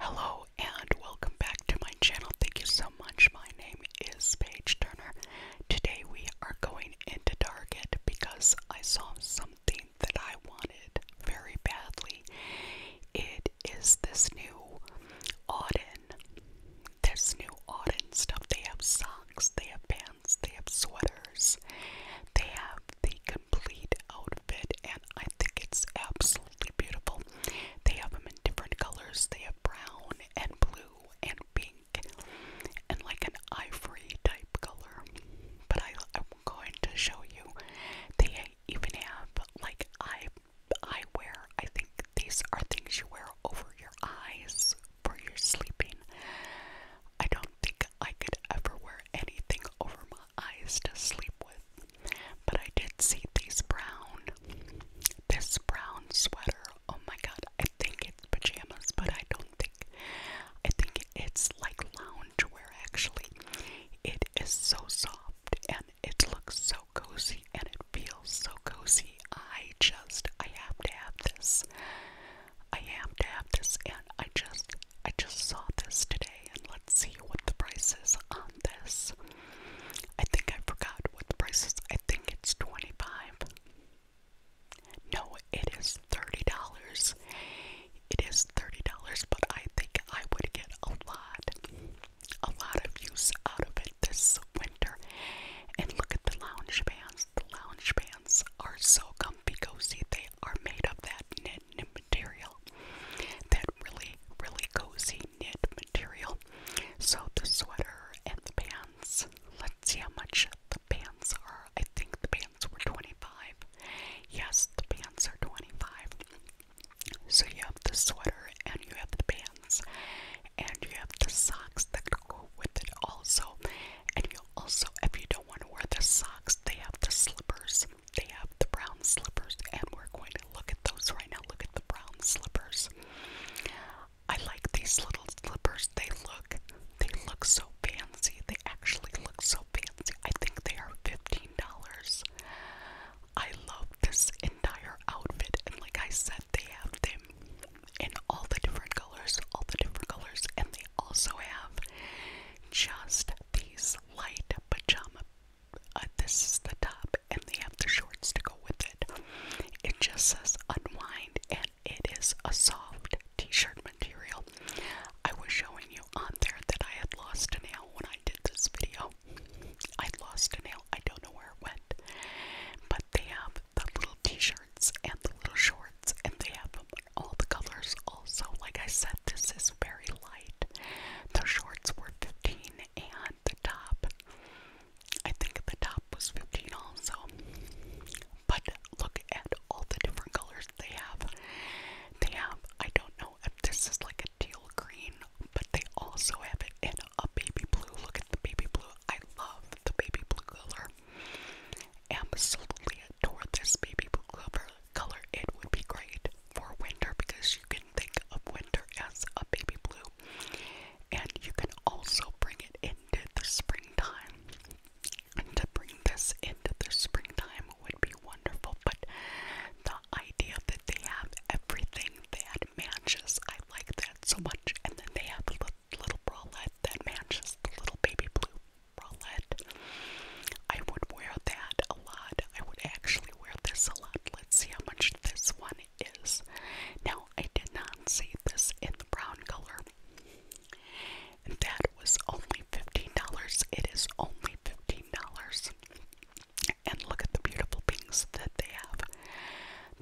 Hello and welcome back to my channel. Thank you so much. My name is Paige Turner. Today we are going into Target because I saw something that I wanted very badly. It is this new Auden. This new Auden stuff. They have socks, they have pants, they have sweaters, they have the complete outfit and I think it's absolutely beautiful. They have them in different colors. They have brown and blue and pink and like an ivory type color. But I, am going to show you. They even have like eye wear. I think these are things you wear over your eyes for your sleeping. I don't think I could ever wear anything over my eyes to sleep with. But I did see these brown, this brown sweater. Oh my god, I think it's pajamas, but I don't think. I think it's like loungewear actually. It is so soft and it looks so cozy and it feels so cozy. I just, I have to have this. I have to have this and I just, I just saw this today let's see what the price is on this. I think I forgot what the price is. I think it's 25. No, it is $30. It is $30, but I think I would get a lot a lot of use out of it this winter. And look at the lounge pants. The lounge pants are so comfy Go see; They are made of that knit knit material, that really, really cozy knit material. So the sweater and the pants, let's see how much the pants are. I think the pants were 25. Yes, the pants are 25. So you have the sweater and you have the pants and you have the socks that go with it also. And you also, if you don't want to wear the socks, they have the slippers. They have the brown slippers, and we're going to look at those right now. Look at the brown slippers. I like these little slippers. They look, they look so fancy. They actually look so fancy. I think they are fifteen dollars. I love this entire outfit, and like I said, they have them in all the different colors, all the different colors, and they also have just these light pajama uh, this is the top, and they have the shorts to go with it. It just says unwind, and it is a soft t-shirt material. I was showing you on there that I had lost a nail when I did this video. I lost a nail. I don't know where it went. But they have the little t-shirts and the little shorts, and they have all the colors also. Like I said, this is very light. The shorts were 15 and the top, I think the top was 15 also. But look at all the different colors they have. They have, I don't know if this is like a teal green, but they also have it in a baby blue. Look at the baby blue. I love the baby blue color. Absolutely adore this baby blue color color, it would be great for winter because you can think of winter as a baby blue. And you can also bring it into the springtime. And to bring this into the springtime would be wonderful, but the idea that they have everything that matches, I like that so much. And then they have the little bralette that matches the little baby blue bralette. I would wear that a lot. I would actually wear this a lot. Let's see how much this one is. Now, I did not see this in the brown color. And that was only $15. It is only $15. And look at the beautiful pinks that they have.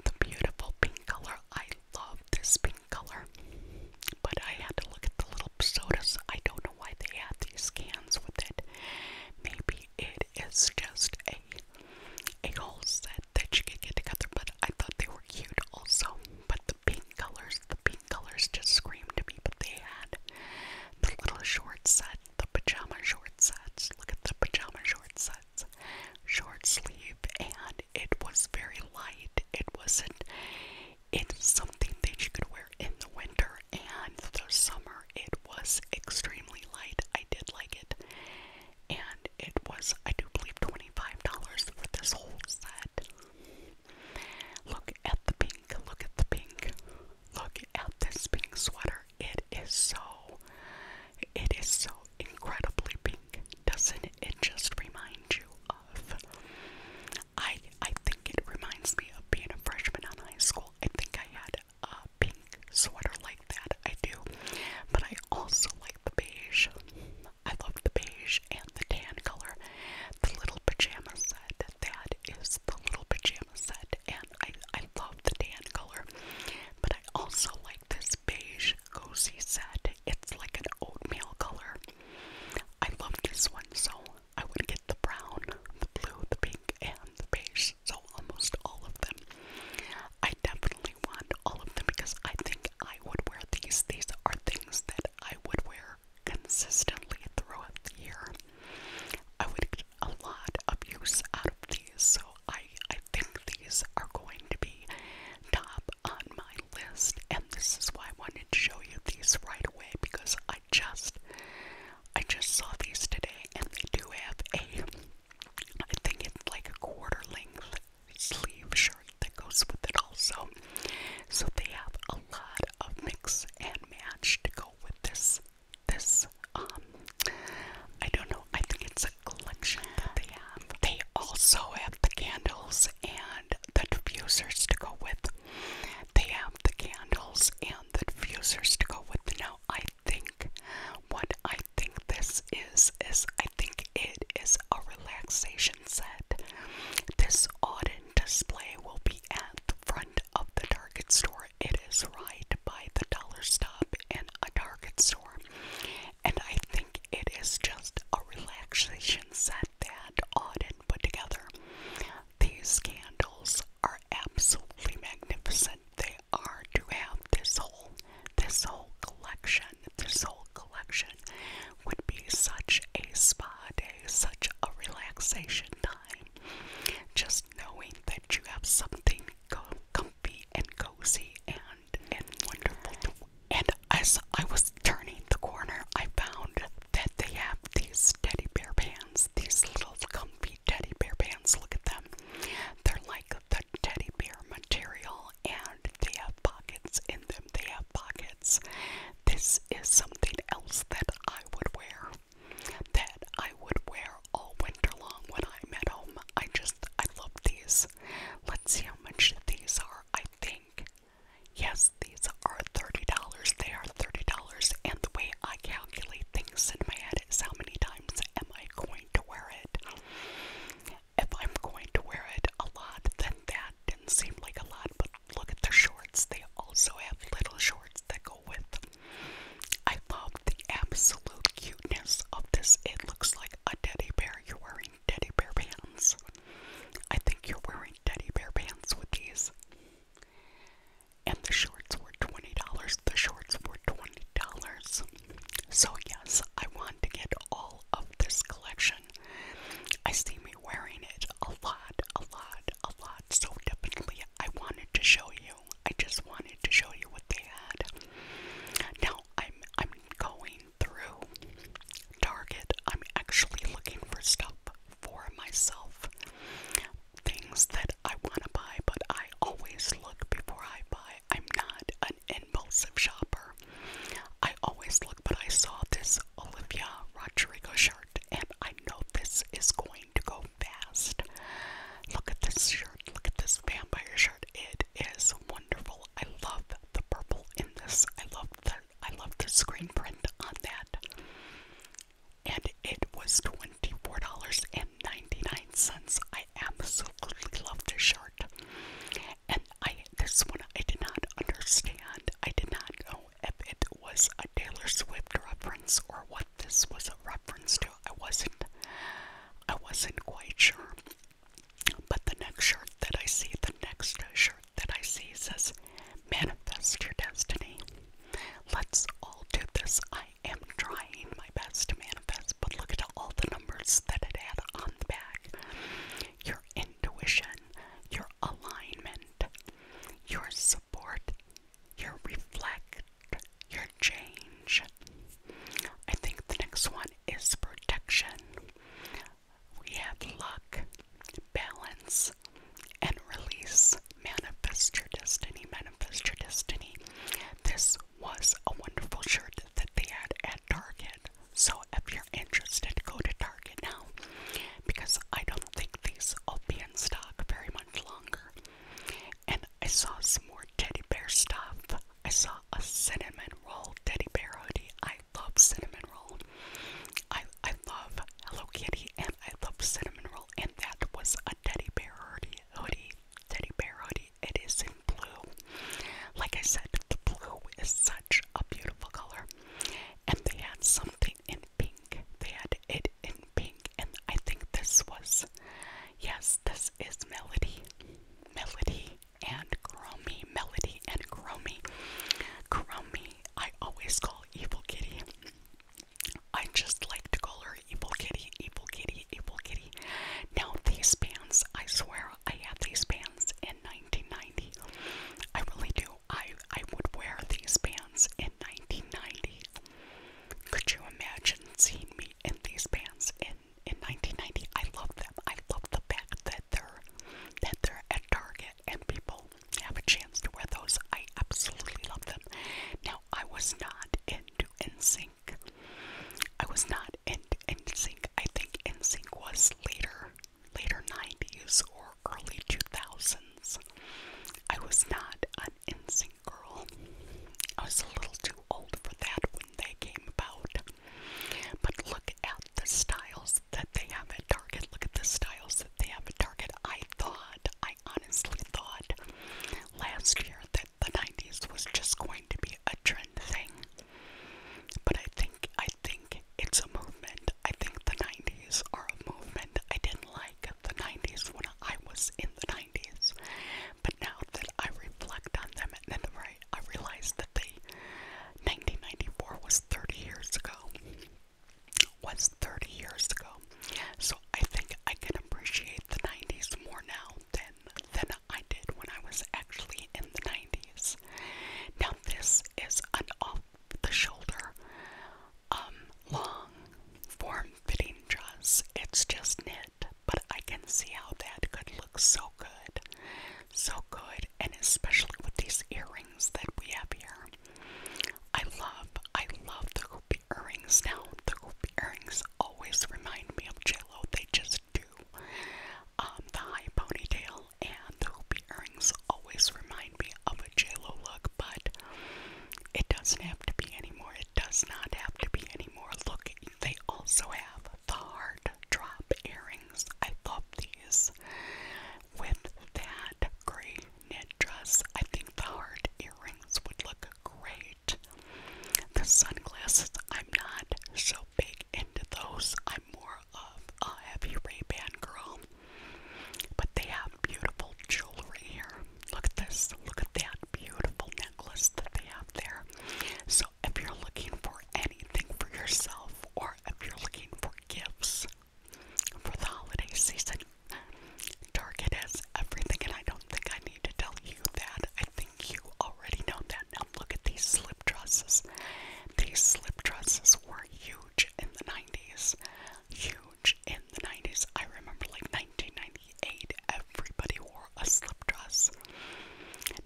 The beautiful pink color. I love this pink color. But I had to look at the little sodas. I don't know why they had these cans with it. Maybe it is just a a whole set that you could get together, but I thought they were cute also. But the pink colors, the pink colors just screamed to me, but they had the little short set, the pajama short sets. Look at the pajama short sets. Short sleeve and it was very light. It wasn't it's something that you could wear in the winter and the summer. It was extremely light. I did like it. And it was, I do believe, $25 for this whole set. Look at the pink. Look at the pink. Look at this pink sweater. It is so, it is so incredibly pink. Doesn't it just remind you of I I think it reminds me of being a freshman in high school. I think I had a pink sweater like that. I do, but I also like the beige. I love the beige and the tan color. The little pajama set. That is the little pajama set, and I I love the tan color, but I also like this beige cozy set. It's like an oatmeal color. I love this one so I would get the brown, the blue, the pink, and the beige. So almost all of them. I definitely want all of them because I think I would wear these. These are things that I would wear consistently throughout the year. I would get a lot of use out of these, so I I think these are going to be top on my list, and this is why I wanted to show you these right away because I just I just saw these today and they do have a I think it's like a quarter length sleeve shirt that goes with it also. So they have a lot of mix and match to go with this this um I don't know, I think it's a collection that they have. They also have the candles and the diffusers to go with they have the candles and the diffusers to go with the now. I think what I think this is is I think it is a relaxation set. This Auden display will be at the front of the Target store. It is right by the dollar stop in a Target store. And I think it is just a relaxation set that Auden put together. These candles are absolutely magnificent. They are to have this whole this whole collection. This whole collection would be such a spa day, such a relaxation time. Just knowing that you have something comfy and cozy and and wonderful. and as I was turning the corner, I found that they have these teddy bear pants, these little comfy teddy bear pants. Look at them. They're like the teddy bear material and they have pockets in them. They have pockets. This is something else that I would wear. That I would wear all winter long when I'm at home. I just I love these. Let's see how much these are. I think Yes, these are $30. They are $30. And the way I calculate things in my head is how many times am I going to wear it? If I'm going to wear it a lot, then that didn't seem like a lot. But look at the shorts. They also have little shorts that go with them. I love the absolute cuteness of this. It looks like a teddy bear. You're wearing teddy bear pants. I think you're wearing teddy bear pants with these. And the shorts were $20. The shorts were $20. So, yes, I want to get all of this collection. I see me wearing it a lot, a lot, a lot. So, definitely, I wanted to show you. I just wanted to show you what they had. Now, I'm, I'm going through Target. I'm actually looking for stuff for myself. Things that I want to buy, but I always look before I buy. I'm not an impulsive shopper. I always look, but I saw this Olivia Rodrigo shirt, and I know this is going to go fast. Look at this shirt. Look at this vampire shirt. It is wonderful. I love the purple in this. I love that. I love the screen print on that. And it was $24.99. I absolutely love this shirt. And I this one I did not understand. I did not know if it was a Taylor Swift reference or what this was a reference to. I wasn't I wasn't quite sure. But the next shirt that I see, the next shirt that I see says manifest your destiny. Let's all do this. I am trying my best to manifest, but look at all the numbers that it had on the back. Your intuition, your alignment, your support, your reflect, your change. I think the next one is protection we have luck, balance, and release. Manifest your destiny, manifest your destiny. This was a wonderful shirt that they had at Target. So if you're interested, go to Target now because I don't think these will be in stock very much longer. And I saw some more teddy bear stuff. I saw a cinnamon roll teddy bear hoodie. I love cinnamon roll. I I love Hello Kitty and I love cinnamon roll. And that was a teddy bear hoodie. hoodie. Teddy bear hoodie. It is in blue. Like I said, the blue is such a beautiful color. And they had something in pink. They had it in pink. And I think this was, yes, this is Melody. Melody and Chromie. Melody and Chromie. Chromie I always call Evil Kitty. I just like to call her Evil Kitty, Evil Kitty, Evil Kitty. Now, these bands, I swear I had these bands in 1990. I really do. I, I would wear these bands in 1990. Could you imagine seeing me in these bands in, in 1990? I love them. I love the fact that that that they're at Target and people have a chance to wear those. I absolutely love them. Now I was not into NSYNC. I was not into NSYNC. I think NSYNC was later, later 90s or early 2000s. I was not an NSYNC girl. I was a little too old for that when they came about. But look at the styles that they have at Target. Look at the styles that they have at Target. I thought, I honestly thought last year that the 90s was just going to be a trend thing. But I think, I think it's a movement. I think the 90s are a movement. I didn't like the 90s when I was in the 90s. But now that I reflect on them, and then I, I realize that the 1994 was 30 years ago was 30 years ago. So I think I can appreciate the 90s more now than than I did when I was actually in the 90s. Now this is an off-the-shoulder, um, long, form-fitting dress. It's just knit, but I can see how that could look so good, so good and especially with these earrings that we have here. I love, I love the hoop earrings now. The hoop earrings always remind me of j They just do. Um, the high ponytail and the hoop earrings always remind me of a J-Lo look, but it doesn't have to be anymore. It does not have to be anymore. Look, they also have the hard drop earrings. I love these with that gray knit dress. I think the heart earrings would look great. The sunglasses, I'm not so big into those. I'm more of a heavy Ray-Ban girl. But they have beautiful jewelry here. Look at this. Look at that beautiful necklace that they have there. So if you're looking for anything for yourself or if you're looking for gifts, for the holiday season. Target has everything, and I don't think I need to tell you that. I think you already know that. Now, look at these slip dresses. These slip dresses were huge in the 90s. Huge in the 90s. I remember like 1998, everybody wore a slip dress.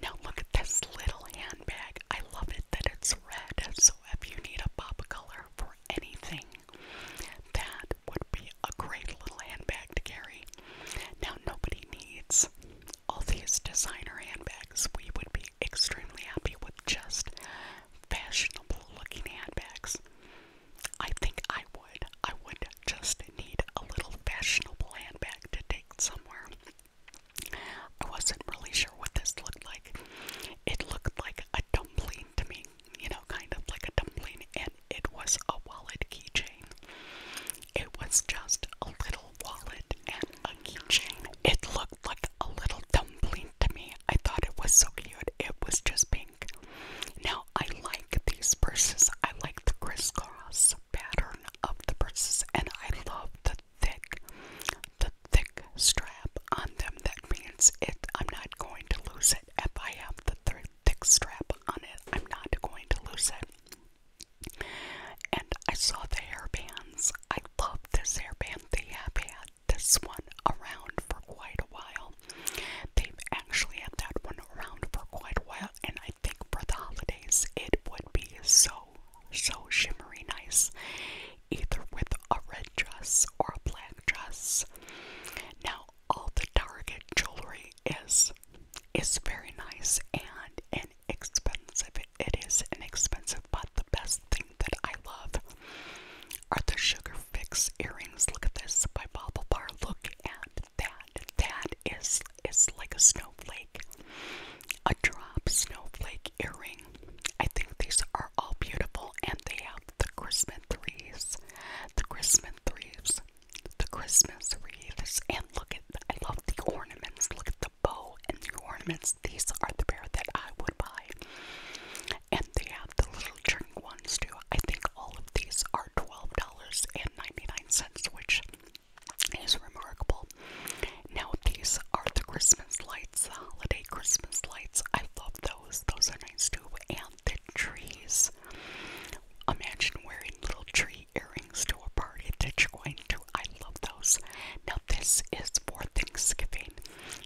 Now, look at this little handbag. I love it that it's red, it's if you need a pop color for anything, that would be a great little handbag to carry. Now nobody needs all these designer handbags. We would be extremely happy with just fashionable looking handbags. I think I would. I would just need a little fashionable handbag to take somewhere. I wasn't really sure what this looked like. It looked like a dumpling to me, you know, kind of like a dumpling, and it was a wallet keychain. It was just a little wallet and a keychain. It looked like a little dumpling to me. I thought it was so cute. It was just pink. Now, I like these purses. I like the crisscross pattern of the purses, and I love the thick the thick strap on them. That means it. I'm not going to lose it if I have the th thick strap on it. I'm not going to lose it. And I saw the hairbands. I love this hairband. They have had this one around for quite a while. They've actually had that one around for quite a while, and I think for the holidays it would be so, so shimmery nice either with a red dress or a black dress. Now all the Target jewelry is is very nice and inexpensive. It is inexpensive, but the best thing that I love are the Sugar Fix earrings. Look at this by Bobble Bar. Look at that. That is is like a snowflake a drop snowflake earring. I think these are all beautiful, and they have the Christmas wreaths, the Christmas wreaths, the Christmas wreaths, and look at. I love the ornaments. Look at the bow and the ornaments. These are the pair that I would buy, and they have the little drink ones too. I think all of these are twelve dollars and ninety nine cents, which is remarkable. Now these are the Christmas lights, the holiday Christmas lights. I love those. Those are nice too. And the trees. Imagine wearing little tree earrings to a party that you're going to. I love those. Now this is for Thanksgiving.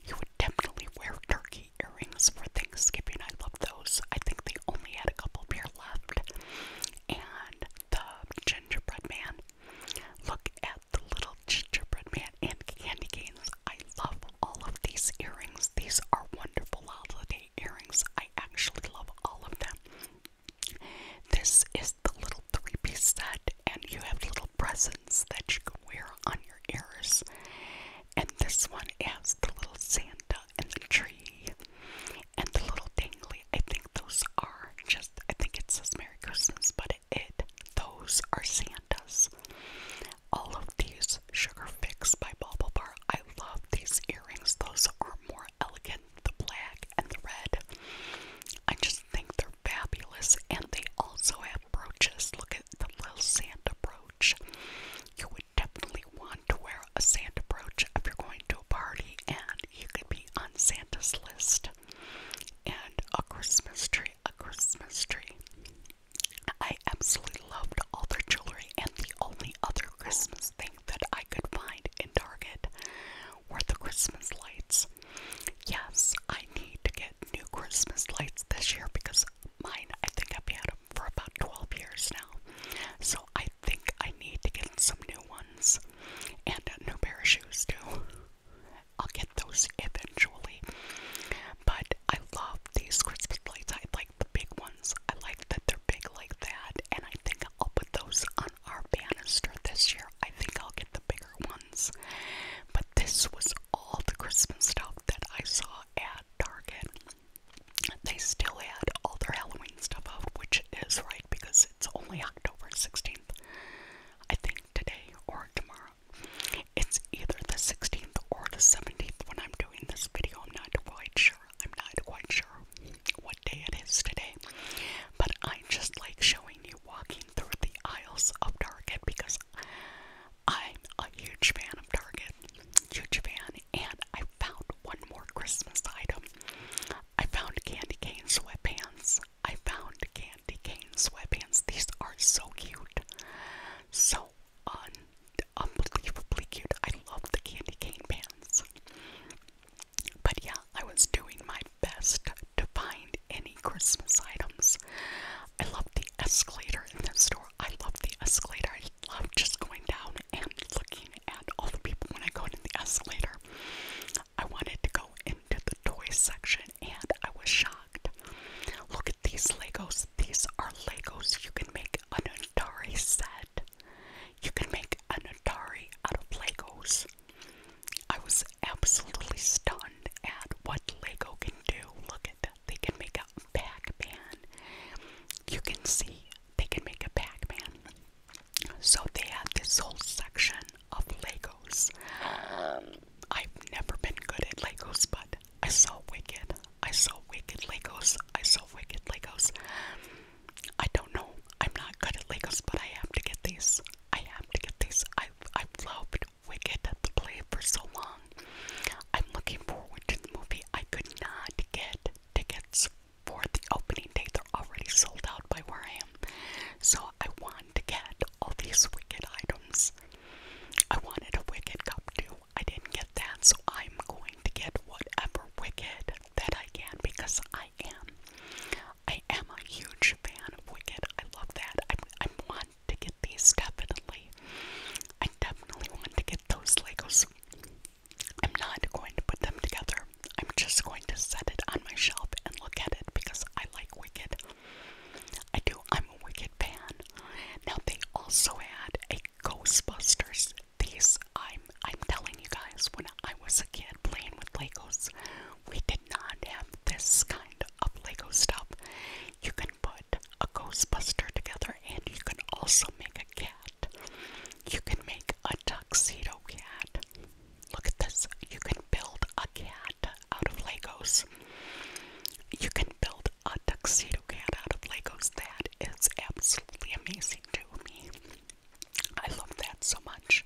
You would definitely wear turkey earrings for Thanksgiving. I love those. I think they only had a couple pair left. And the gingerbread man. Look at the little gingerbread man and candy canes. I love all of these earrings. These are wonderful holiday earrings. I actually love all of them. This is the little three piece set, and you have little presents that you can wear on your ears. And this one has the little Santa and the tree and the little dangly I think those are just, I think it says Merry Christmas, but it, those are Santas. All of these Sugar Fix by Bobble Bar, I love these earrings. Those are more elegant, the black and the red. I just think they're fabulous, and they also have brooches. Look at the little Santa brooch. You would definitely want to wear a Santa brooch if you're going to a party, and you could be on Santa's list and a Christmas tree, a Christmas tree. I absolutely loved all their jewelry, and the only other Christmas thing that I could find in Target were the Christmas lights. Yes, I need to get new Christmas lights this year because mine, I think I've had them for about 12 years now. So I think I need to get some new ones and a new pair of shoes too. I'll get those eventually. But I love these Christmas lights. I like the big ones. I like that they're big like that. And I think I'll put those on our banister this year. I think I'll get the bigger ones. But this was all the Christmas stuff that I saw at Target. They still had all their Halloween stuff out, which is right because it's only October 16th. I think today or tomorrow. It's either the 16th or the 17th when I'm doing this video. I'm not quite sure. I'm not quite sure what day it is today. But I just like showing you walking through the aisles of Target because I'm a huge fan of Target. Huge fan. And I found one more Christmas item. I found candy cane sweatpants. I found candy cane sweatpants. These are so cute. So un unbelievably cute. I love the candy cane pants. But yeah, I was doing my best to find any Christmas items. I love the escalator in this store. I love the escalator. I love just going down and looking at all the people when I go into the escalator. I wanted to go in to the toy section and I was shocked. Look at these Legos. These are Legos. You can make an Atari set. You can make an Atari out of Legos. I was absolutely stunned at what Lego can do. Look at that. They can make a Pac Man. You can see they can make a Pac Man. So they had this whole section of Legos. Um, I've never been good at Legos, but I saw Wicked. I saw Wicked Legos. I saw Wicked Legos. I don't know. I'm not good at Legos, but I have to get these. I have to get these. I've, i loved Wicked at the play for so long. I'm looking forward to the movie. I could not get tickets for the opening day. They're already sold out by where I am. So I want to get all these Wicked items. I wanted a Wicked cup too. I didn't get that, so I'm going to get whatever Wicked that I can because I am. I am a huge fan of Wicked. I love that. I, I want to get these definitely. I definitely want to get those Legos. I'm not going to put them together I'm just going to set it on my shelf and look at it because I like Wicked. I do. I'm a Wicked fan. Now they also had a Ghostbusters. These I'm I'm telling you guys, when I was a kid playing with Legos, we did not have this kind of Lego stuff. You can put a Ghostbuster together and you can also make a cat. You can make a tuxedo cat. Look at this. You can build a cat out of Legos. You can build a tuxedo cat out of Legos. That is absolutely amazing to me. I love that so much.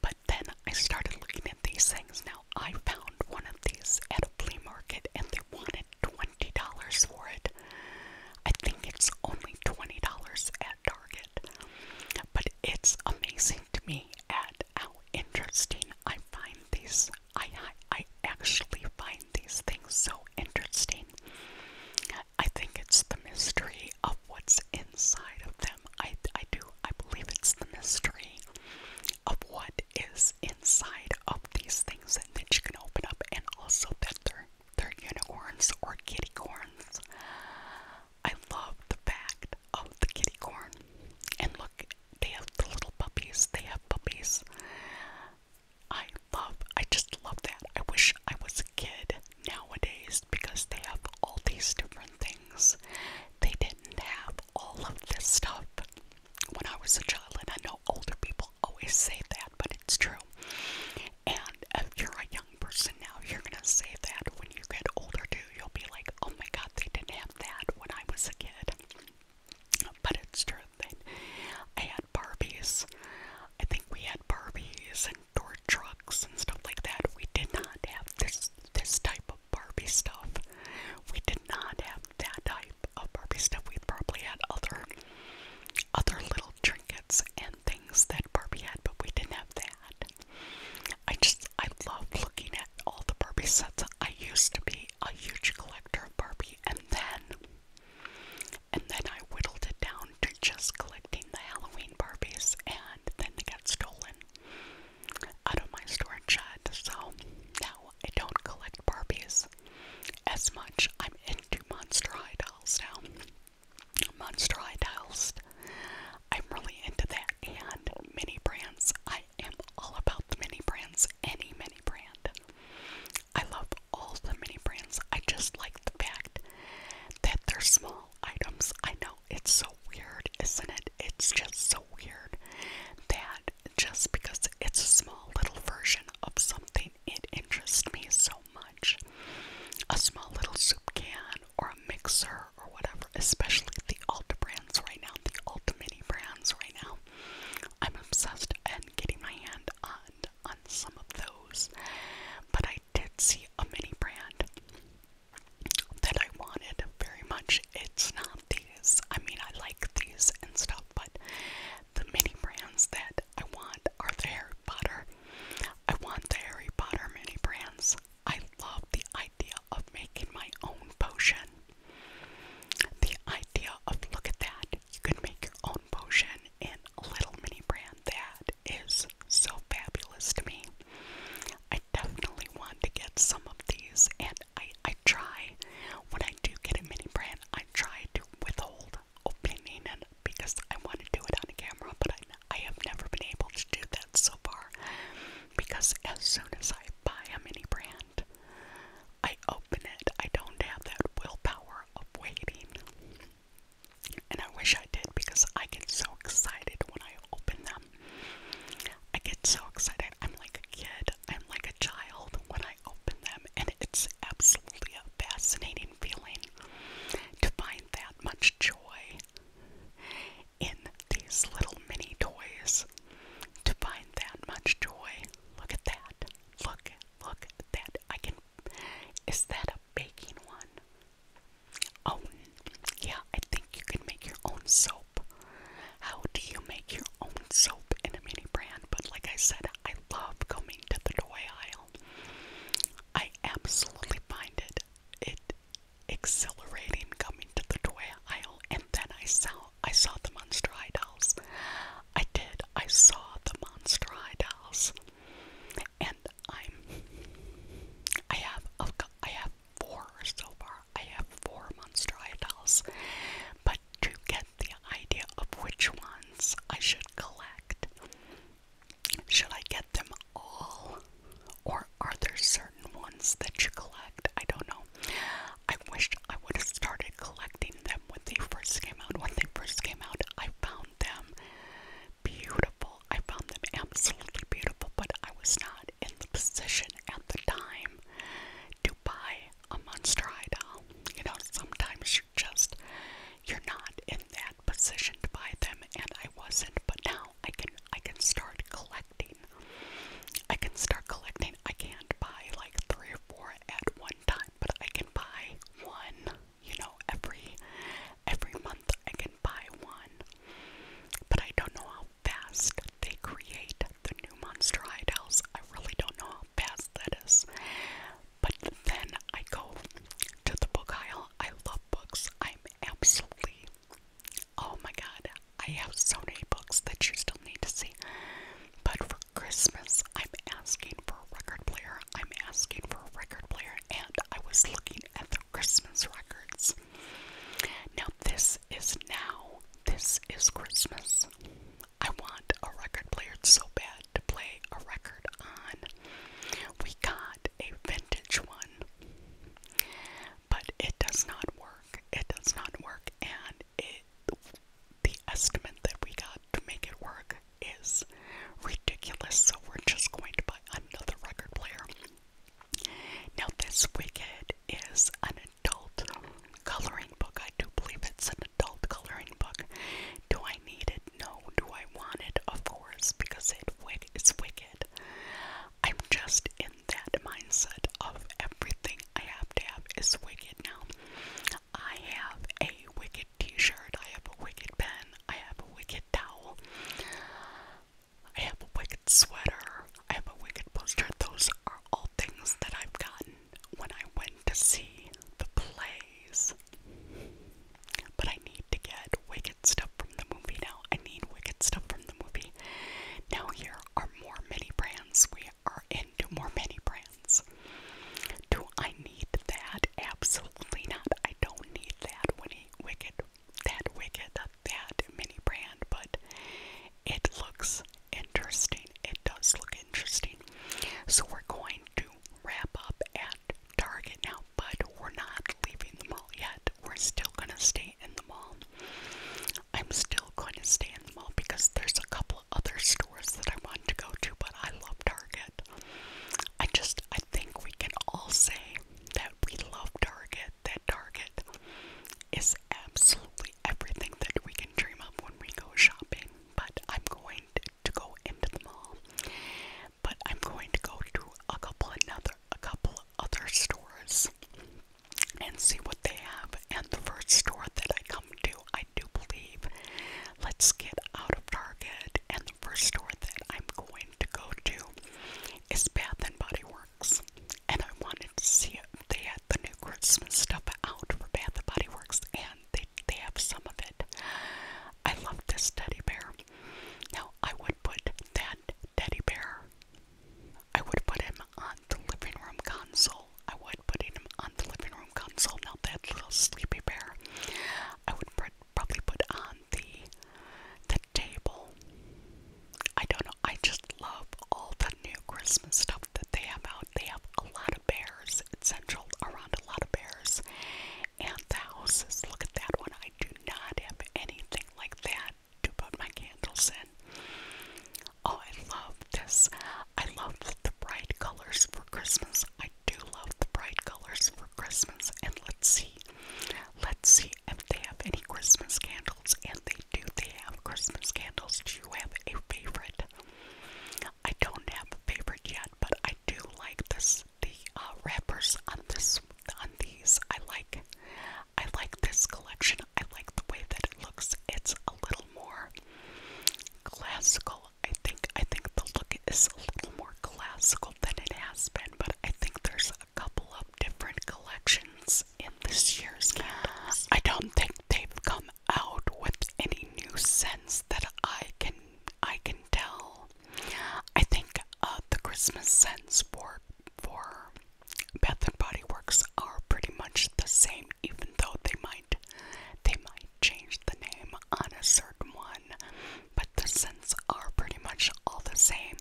But then I started looking at these things. Now I found one of these at a flea market and they wanted $20 for it. I think it's only $20 at Target. But it's amazing to me and how interesting I find these. I, I, actually find these things so interesting. I think it's the mystery of what's inside of them. I, I do. I believe it's the mystery of what is inside of these things and that you can open up, and also that they're they're unicorns or kitty corns. I love the fact of the kitty corn. And look, they have the little puppies. They have puppies. I love, I just love that. I wish I was a kid nowadays because they have all these different things. They didn't have all of this stuff when I was a child, and I know older people always say that, but it's true. And if you're a young person now, you're gonna say that when you get older too. You'll be like, oh my god, they didn't have that when I was a kid. But it's true that I had Barbies. I think we had Barbies and door trucks and stuff like that. We did not have this this type of Barbie stuff. We did not have that type of Barbie stuff. We probably had other other little trinkets and things that Barbie had, but we didn't have that. I just, I love looking at all the Barbie sets. I used to be a huge collector of Barbie, and then, and then I whittled it down to just collecting the Halloween Barbies, and then they got stolen out of my storage shed. So now I don't collect Barbies as much. I'm into Monster High dolls now. Monster Eye Towels. I'm really into that. And mini brands. I am all about the mini brands. Any mini brand. I love all the mini brands. I just like the fact that they're small items. I know it's so weird, isn't it? It's just so weird that just because it's a small little version of something, it interests me so much. A small little soup can, or a mixer or whatever, especially the Ulta brands right now, the Ulta Mini brands right now. I'm obsessed and getting my hand on on some of those. But I did see a mini brand that I wanted very much. It's not these. I mean I like these and stuff, but the mini brands that I want are there. Potter. I want the Harry Potter mini brands. I love the idea of making my own potion. The idea of look at that. You can make your own potion in a little mini brand. That is so fabulous to me. I definitely want to get some of these and I I try when I do get a mini brand I try to withhold opening it because I want to do it on camera, but I, I have never been able to do that so far because as soon as I buy a mini brand, I open it. I don't have that willpower of waiting. And I wish I did because I get so excited when I open them. I get so excited. I'm like a kid. I'm like a child when I open them. And it's absolutely a fascinating feeling to find that much joy in these little mini toys. To find that much joy. Look at that. Look, look at that. I can. Is that a baking one? Oh, yeah, I think you can make your own soap. How do you make your own soap in a mini brand? But like I said, I love coming to the toy aisle. I absolutely find it it exhilarating coming to the toy aisle and then I saw I saw the monster eye I did. I saw the monster eye And I'm I have oh, I have four so far. I have four monster eye But to get the idea of which ones I should collect, should I get them all? Or are there certain ones that you collect? I don't know. I wish I would have started collecting them when they first came out. When they first came out, I found them beautiful. I found them absolutely beautiful, but I was not in the position at the time to buy a monster eye You know, sometimes you're just you're not in that position to buy them and I wasn't but now I can I can start collecting. I can start collecting. I can't buy like three or four at one time, but I can buy one, you know, every every month I can buy one. But I don't know how fast they create the new monster hide house. I really don't know how fast that is. But then I go to the book aisle. I love books. I'm absolutely oh my god. I have so many books that you still need to see. But for Christmas, I'm asking for a record player. I'm asking for a record player, and I was looking at the Christmas records. Now, this is now. This is Christmas. I want a record player so bad to play a record on. We got a vintage one, but it does not work. It does not work, and it the estimate that we got to make it work is ridiculous. So we're just going to buy another record player. Now this Wicked is an adult coloring book. I do believe it's an adult coloring book. Do I need it? No. Do I want it? Of course because it wick it's wicked. I'm just in that mindset of everything I have to have is wicked now. I have a wicked t-shirt, I have a wicked pen, I have a wicked towel, I have a wicked sweater, I have a wicked poster. Those are all things that I've gotten when I went to see the plays. But I need to get wicked stuff from the movie now. I need wicked stuff from the movie. Now here are more mini brands. We are into more mini brands. Do I need that? Absolutely not. I don't need that Winnie Wicked, that Wicked, that mini brand, but it looks interesting. It does look interesting. So we're going to wrap up at Target now, but we're not leaving the mall yet. We're still gonna stay in the mall. I'm still going to stay in the mall because there's a couple other stores that I want to go to, but I love Target. I just I think we can all say that we love Target, that Target is absolutely everything that we can dream of when we go shopping. But I'm going to go into the mall but I'm going to go to a couple another a couple other stores and see what they have. And the first store that I come to, I do believe, let's get out of Target. And the first store that I'm going to go to is Bath and Body Works. And I wanted to see if they had the new Christmas stuff out for Bath and Body Works. And they, they have some of it. I love this teddy bear. Now, I would put that teddy bear, I would put him on the living room console. I would put him on the living room console. Now, that little sleepy bear, I would put, probably put on the, the table. I don't know, I just love all the new Christmas stuff that they have out. They have a lot of bears. It's central around a lot of bears and the houses. Look at that one. I do not have anything like that to put my candles in. Oh, I love this. I love the bright colors for Christmas. I do love the bright colors for Christmas. And let's see. Let's see if they have any Christmas candles. And they do. They have Christmas candles. Do you have a favorite? I don't have a favorite yet, but I do like this the uh, wrappers on this on these. I like I like this collection. I like the way that it looks. It's a little more classical. I think I think the look is a little more classical than it has been, but I think there's a couple of different collections in this year's candles. I don't think they've come out with any new sense that I can I can tell. I think uh, the Christmas scents for for Bath and Body Works are pretty much the same, even though they might they might change the name on a certain one, but the scents are pretty much all the same.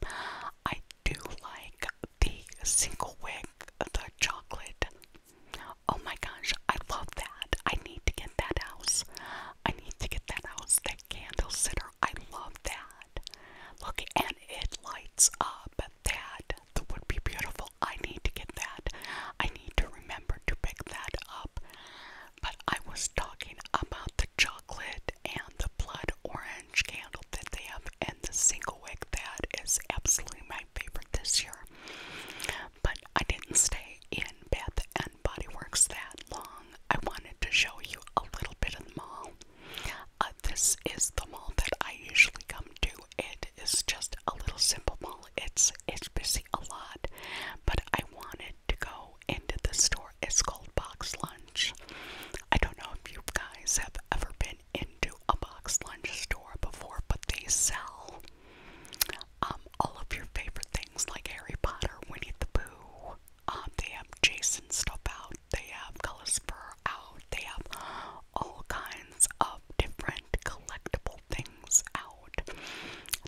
I do like the single wick, the chocolate Oh my gosh, I love that. I need to get that house. I need to get that house, that candle sitter. I love that. Look, and it lights up. That that would be beautiful. I need to get that. I need to remember to pick that up. But I was talking about the chocolate and the blood orange candle that they have and the single wick that is absolutely my favorite this year. But I didn't stay in Bath and Body Works that long. I wanted to show you a little bit of the mall. Uh, this is the mall that I usually come to. It is just a little simple mall. It's it's busy a lot, but I wanted to go into the store. It's called Box Lunch. I don't know if you guys have ever been into a box lunch store before, but they sell um, all of your favorite things like Harry Potter, Winnie the Pooh. Um, they have Jason stuff out. They have Gullispur out. They have all kinds of different collectible things out.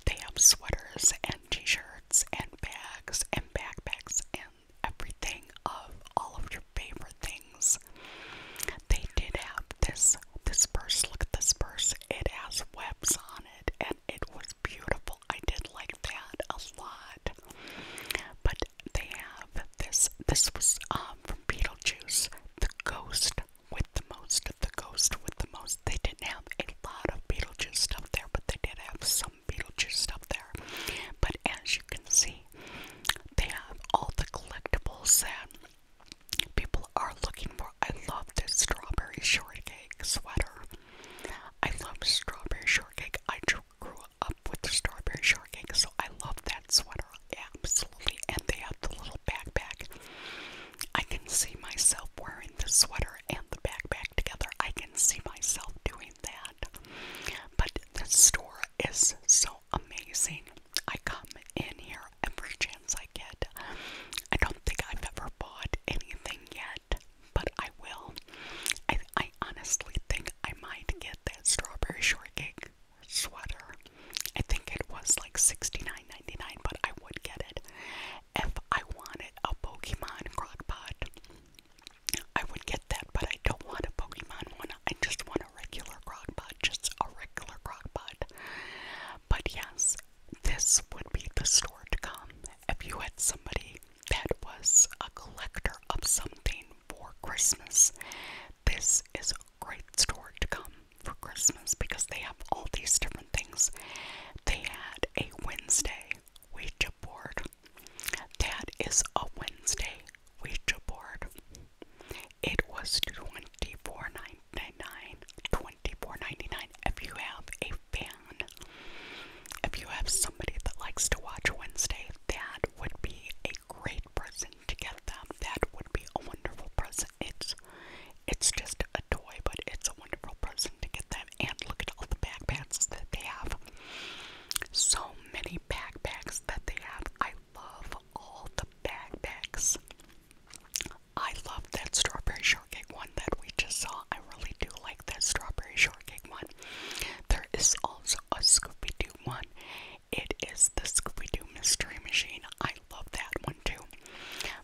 They have sweaters and t-shirts and bags and backpacks and everything of all of your favorite things. They did have this this purse. Look at this purse. It has webs on it, and it was beautiful. I did like that a lot. But they have this. This was um, from Beetlejuice. The ghost with the most. The ghost with the most. They didn't have a lot of Beetlejuice stuff there, but they did have some Beetlejuice stuff there. But as you can see, they have all the collectibles that people are looking for. I love this strawberry shortcake sweater. I love strawberry shortcake. I grew up with the strawberry shortcake, so I love that sweater absolutely. And they have the little backpack. I can see myself wearing the sweater and the backpack together. I can see myself doing that. But the store is so amazing. I come in here every day I get. I don't think I've ever bought anything yet, but I will. I, I honestly think I might get that strawberry shortcake sweater. I think it was like $69.99, but I would get it. If I wanted a Pokemon crockpot, I would get that, but I don't want a Pokemon one. I just want a regular crockpot, just a regular crockpot. But yes, this would be the store to come if you had somebody that was a collector of something for Christmas. This is a great store to come for Christmas because they have all these different things. They had a Wednesday Ouija board. That is a Wednesday Ouija board. It was 24 four nine. $24.99, $24.99 if you have a fan. If you have somebody that likes to watch Wednesday, that would be a great present to get them. That would be a wonderful present. It's it's just a toy, but it's a wonderful present to get them. And look at all the backpacks that they have. So many backpacks that they have. I love all the backpacks. I love that strawberry shortcake one that we just saw. I really do like that strawberry shortcake one. There is also a Scooby Doo one. It is the Scooby Doo Mystery Machine. I love that one too.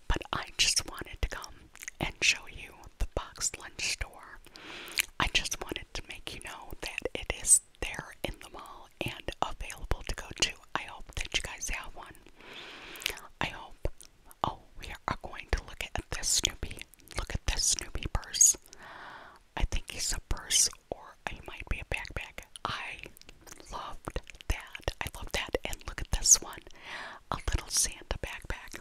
But I just wanted to come and show you the box lunch store. I just wanted to make you know that it is there in the mall and available to go to. I hope that you guys have one. I hope. Oh, we are going to look at this Snoopy. Look at this Snoopy purse. I think he's a purse or he might be a backpack. I loved that. I love that. And look at this one. A little Santa backpack.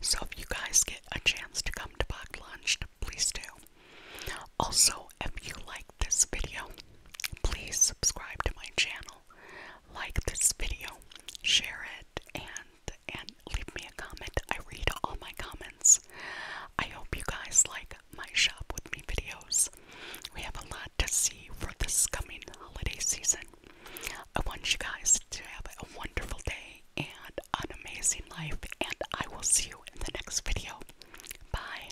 So if you guys get a chance to come to Bach Lunch, please do. Also, if you like this video. Please subscribe to my channel. Like this video. Share it and and leave me a comment. I read all my comments. I hope you guys like my shop with me videos. We have a lot to see for this coming holiday season. I want you guys to have a wonderful day and an amazing life, and I will see you in the next video. Bye.